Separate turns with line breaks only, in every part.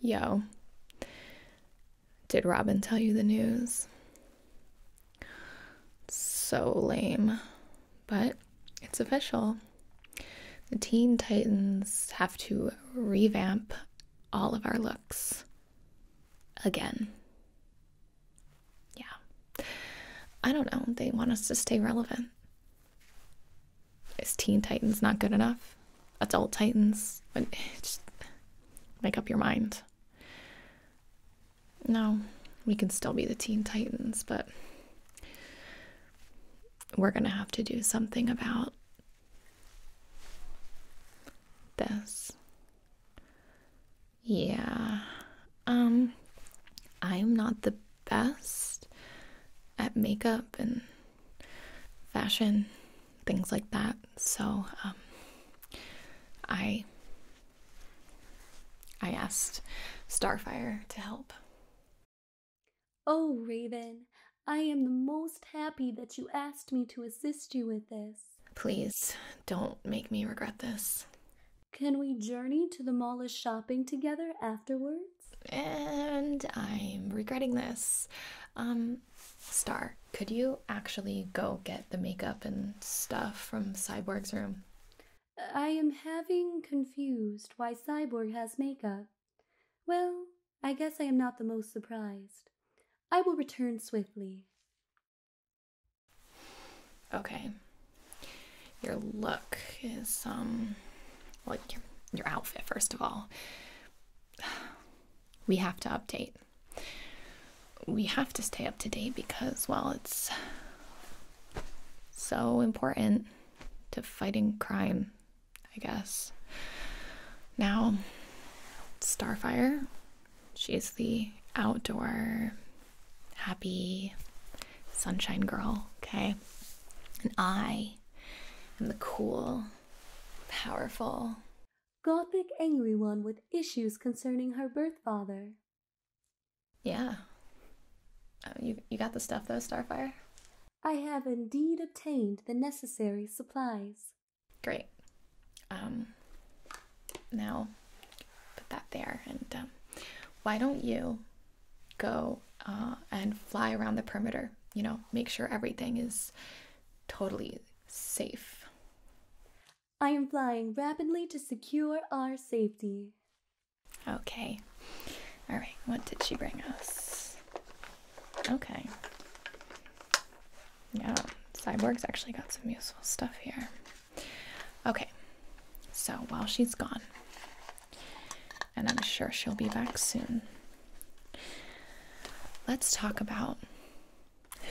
Yo, did Robin tell you the news? So lame, but it's official. The Teen Titans have to revamp all of our looks again. Yeah. I don't know. They want us to stay relevant. Is Teen Titans not good enough? Adult Titans? Just make up your mind. No, we can still be the Teen Titans, but we're going to have to do something about this. Yeah. Um I'm not the best at makeup and fashion, things like that. So um, I I asked Starfire to help.
Oh, Raven, I am the most happy that you asked me to assist you with this.
Please don't make me regret this.
Can we journey to the mall
shopping together afterward? and I'm regretting this. Um, Star, could you actually go get the makeup and stuff from Cyborg's room?
I am having confused why Cyborg has makeup. Well, I guess I am not the most surprised. I will return swiftly.
Okay. Your look is um like your, your outfit, first of all. We have to update. We have to stay up to date because, well, it's so important to fighting crime, I guess. Now, Starfire, she's the outdoor, happy sunshine girl, okay? And I and the cool, powerful, gothic, angry
one with issues concerning her birth father.
Yeah. Oh, you, you got the stuff, though, Starfire?
I have indeed obtained the
necessary
supplies.
Great. Um, now, put that there. And um, why don't you go uh, and fly around the perimeter. You know, make sure everything is totally safe.
I am flying rapidly to secure our safety.
Okay. All right, what did she bring us? Okay. Yeah, Cyborg's actually got some useful stuff here. Okay, so while she's gone, and I'm sure she'll be back soon. Let's talk about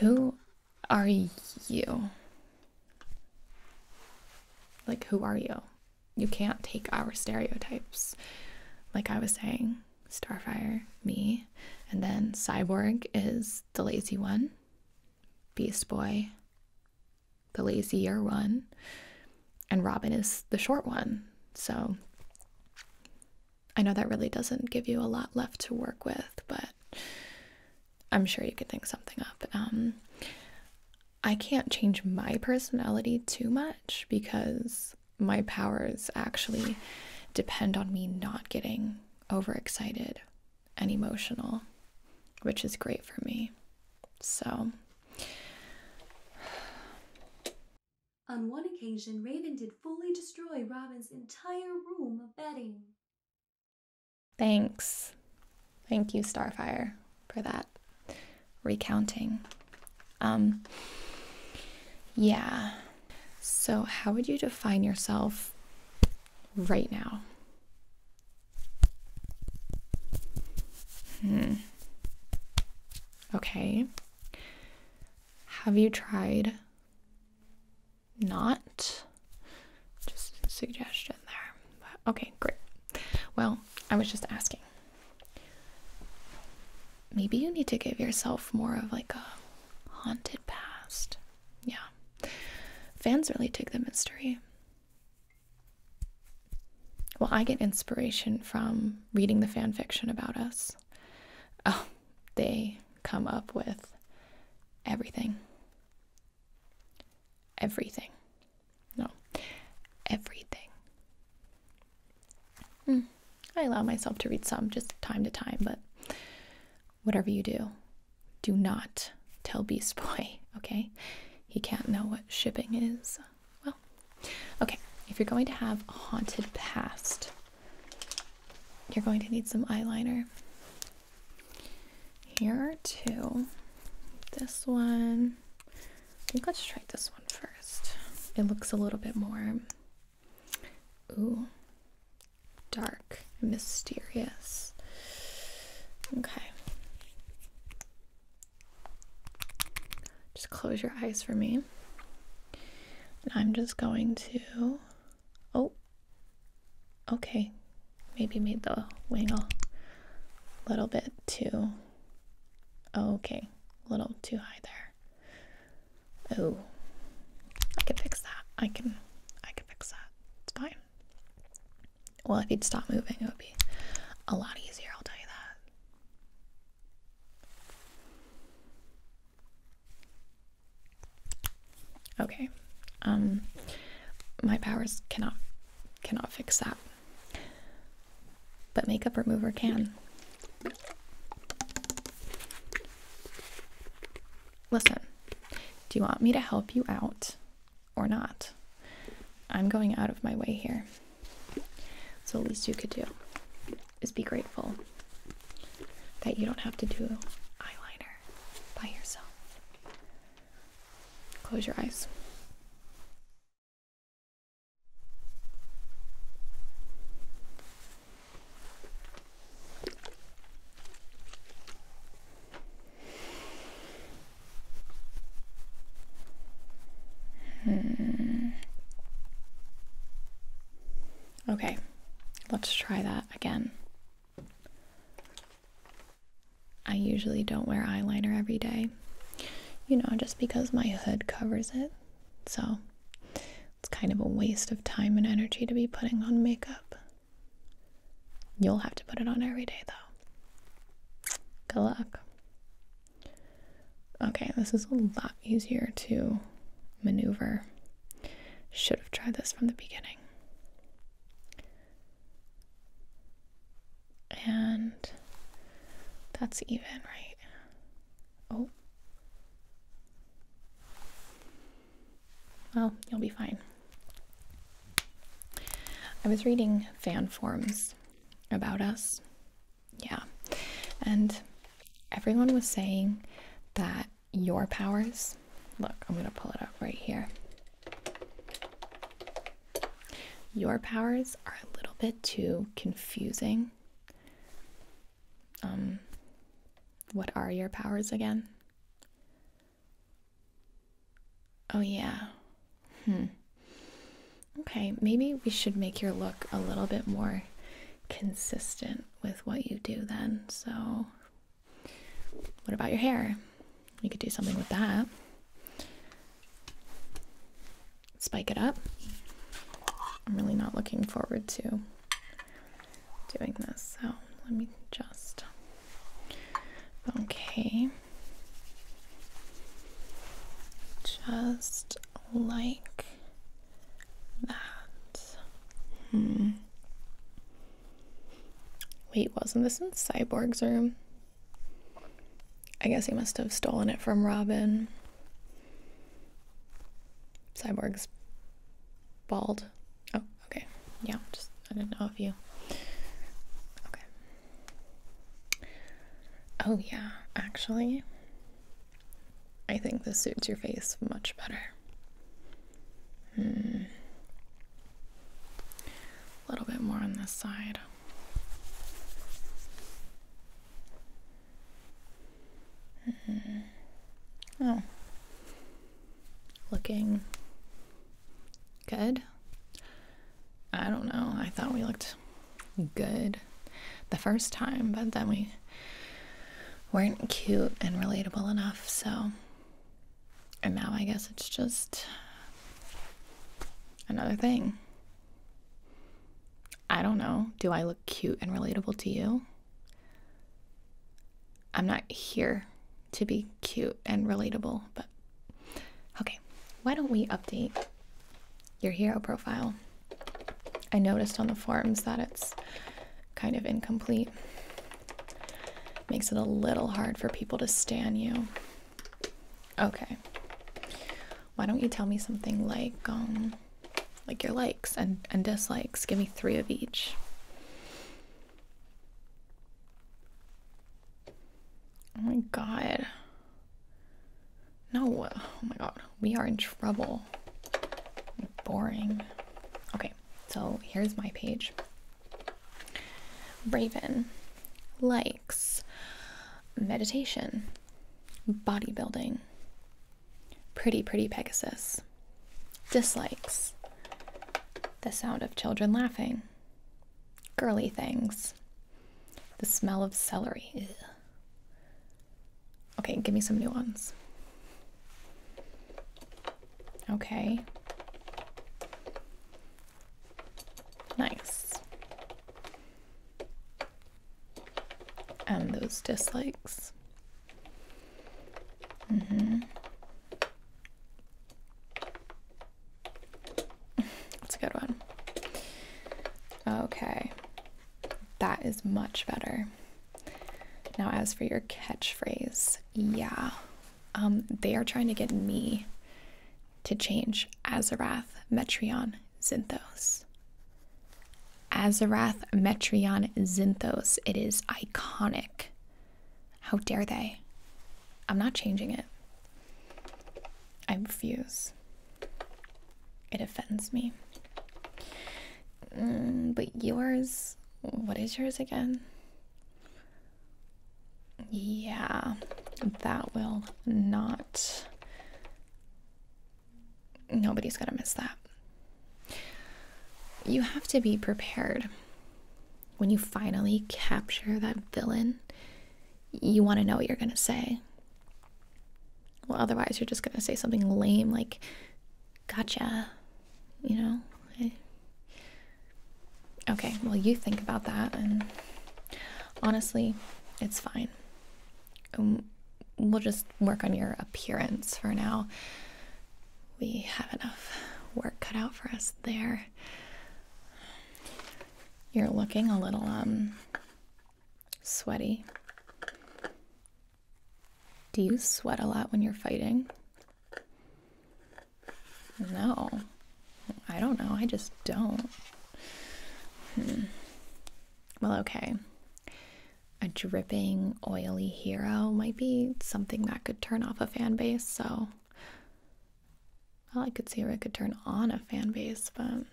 who are you? Like, who are you? You can't take our stereotypes. Like I was saying, Starfire, me, and then Cyborg is the lazy one, Beast Boy, the lazier one, and Robin is the short one. So I know that really doesn't give you a lot left to work with, but I'm sure you could think something up. Um, I can't change my personality too much because my powers actually depend on me not getting overexcited and emotional, which is great for me. So,
on one occasion, Raven did fully destroy Robin's entire room of bedding.
Thanks. Thank you, Starfire, for that recounting. Um, yeah. So, how would you define yourself right now? Hmm. Okay. Have you tried not? Just suggestion there. okay, great. Well, I was just asking. Maybe you need to give yourself more of like a haunted past. Yeah. Fans really take the mystery well, I get inspiration from reading the fan fiction about us. Oh, they come up with everything. Everything. No, everything. Hmm, I allow myself to read some just time to time, but whatever you do, do not tell Beast Boy, okay? He can't know what shipping is well, okay, if you're going to have a haunted past, you're going to need some eyeliner. Here are two. This one, I think let's try this one first. It looks a little bit more, ooh, dark, mysterious. Okay. Just close your eyes for me. I'm just going to. Oh, okay. Maybe made the wing a little bit too. Okay, a little too high there. Oh, I can fix that. I can, I can fix that. It's fine. Well, if you would stop moving, it would be a lot easier. I'll tell you that. Okay. Um my powers cannot cannot fix that. But makeup remover can. Listen. Do you want me to help you out or not? I'm going out of my way here. So, at least you could do is be grateful that you don't have to do eyeliner by yourself. Close your eyes. Hmm. Okay, let's try that again. I usually don't wear eyeliner every day, you know, just because my hood covers it. So it's kind of a waste of time and energy to be putting on makeup. You'll have to put it on every day, though. Good luck. Okay, this is a lot easier to maneuver. Should have tried this from the beginning. And that's even, right? Oh. Well, you'll be fine. I was reading fan forms about us yeah. And everyone was saying that your powers look, I'm going to pull it up right here. Your powers are a little bit too confusing. Um, what are your powers again? Oh, yeah. Hmm. Okay, maybe we should make your look a little bit more consistent with what you do then. So, what about your hair? We could do something with that. Spike it up. I'm really not looking forward to doing this. So, let me just. Okay. Just like that. Hmm. Wait, wasn't this in Cyborg's room? I guess he must have stolen it from Robin. Cyborg's bald. Oh, okay. Yeah, just I didn't know if you. Okay. Oh, yeah, actually. I think this suits your face much better. Hmm. A little bit more on this side. Hmm. Oh. Looking good. I don't know. I thought we looked good the first time, but then we weren't cute and relatable enough. So, and now I guess it's just another thing. I don't know. Do I look cute and relatable to you? I'm not here to be cute and relatable, but okay. Why don't we update your hero profile. I noticed on the forms that it's kind of incomplete. Makes it a little hard for people to stan you. Okay. Why don't you tell me something like um like your likes and, and dislikes? Give me three of each. Oh my god. No, uh, oh my god, we are in trouble. Boring. Okay, so here's my page. Raven likes meditation, bodybuilding, pretty, pretty Pegasus, dislikes the sound of children laughing, girly things, the smell of celery. Okay, give me some new ones. Okay. Nice. And those dislikes. hmm That's a good one. Okay. That is much better. Now, as for your catchphrase, yeah, um, they are trying to get me to change Azarath, Metrion Zinthos. Azarath, Metrion Zinthos. It is iconic. How dare they? I'm not changing it. I refuse. It offends me. Mm, but yours, what is yours again? Yeah, that will not. Nobody's gonna miss that. You have to be prepared. When you finally capture that villain, you want to know what you're gonna say. Well, otherwise, you're just going to say something lame like, gotcha. You know? Okay, well, you think about that, and honestly, it's fine. Um, we'll just work on your appearance for now. We have enough work cut out for us there. You're looking a little, um, sweaty. Do you sweat a lot when you're fighting? No. I don't know. I just don't. Hmm. Well, okay. A dripping, oily hero might be something that could turn off a fan base, so. Well, I could see where it could turn on a fan base, but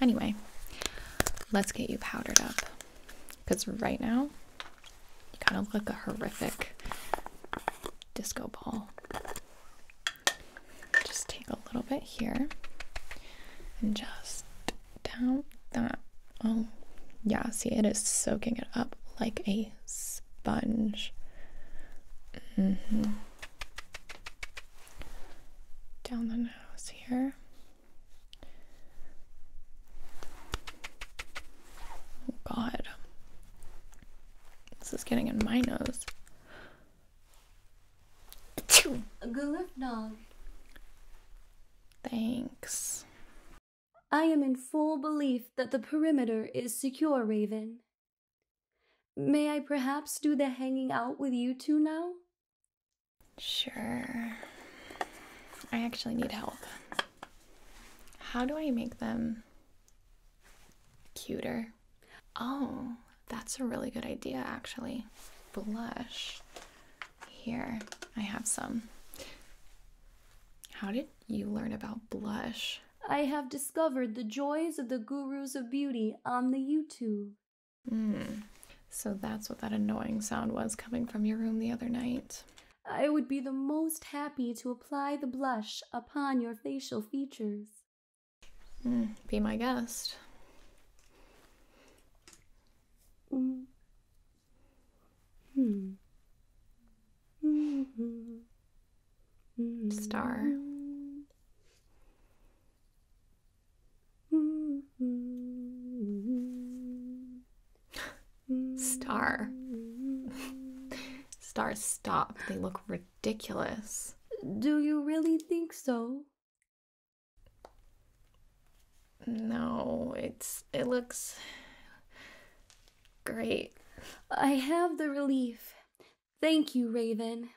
Anyway, let's get you powdered up because right now you kind of look a horrific disco ball. Just take a little bit here and just down that. Oh, yeah, see, it is soaking it up like a sponge. Mm-hmm down the nose here. Oh god. This is getting in my nose.
A good dog.
Thanks.
I am in full belief that the perimeter is secure, Raven. May I perhaps do the hanging out with you two now?
Sure. I actually need help. How do I make them cuter? Oh, that's a really good idea, actually. Blush. Here, I have some. How did you learn about blush?
I have discovered the joys of the gurus of beauty on the YouTube.
Hmm. So that's what that annoying sound was coming from your room the other night.
I would be the most happy to apply the blush upon your facial features.
Hmm. be my guest. Mm. Hmm.
Mm-hmm. Star.
Mm-hmm. Star. Star, stop. They look ridiculous. Do you really think so? No, it's it looks
great. I have the relief. Thank you, Raven.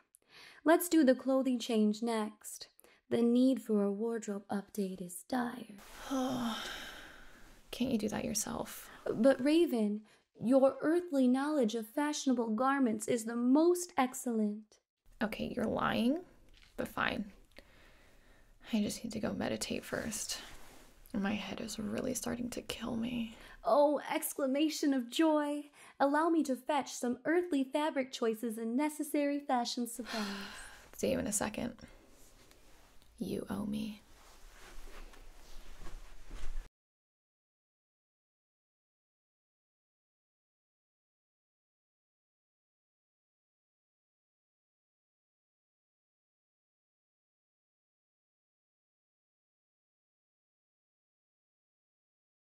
Let's do the clothing change next. The need for a wardrobe update is dire. Can't you do that yourself? But, Raven, your earthly knowledge of fashionable garments is the most excellent.
Okay, you're lying, but fine. I just need to go meditate first. My head is really starting to kill me. Oh, exclamation
of joy allow me to fetch some earthly fabric choices and necessary fashion supplies.
See you in a second. You owe me.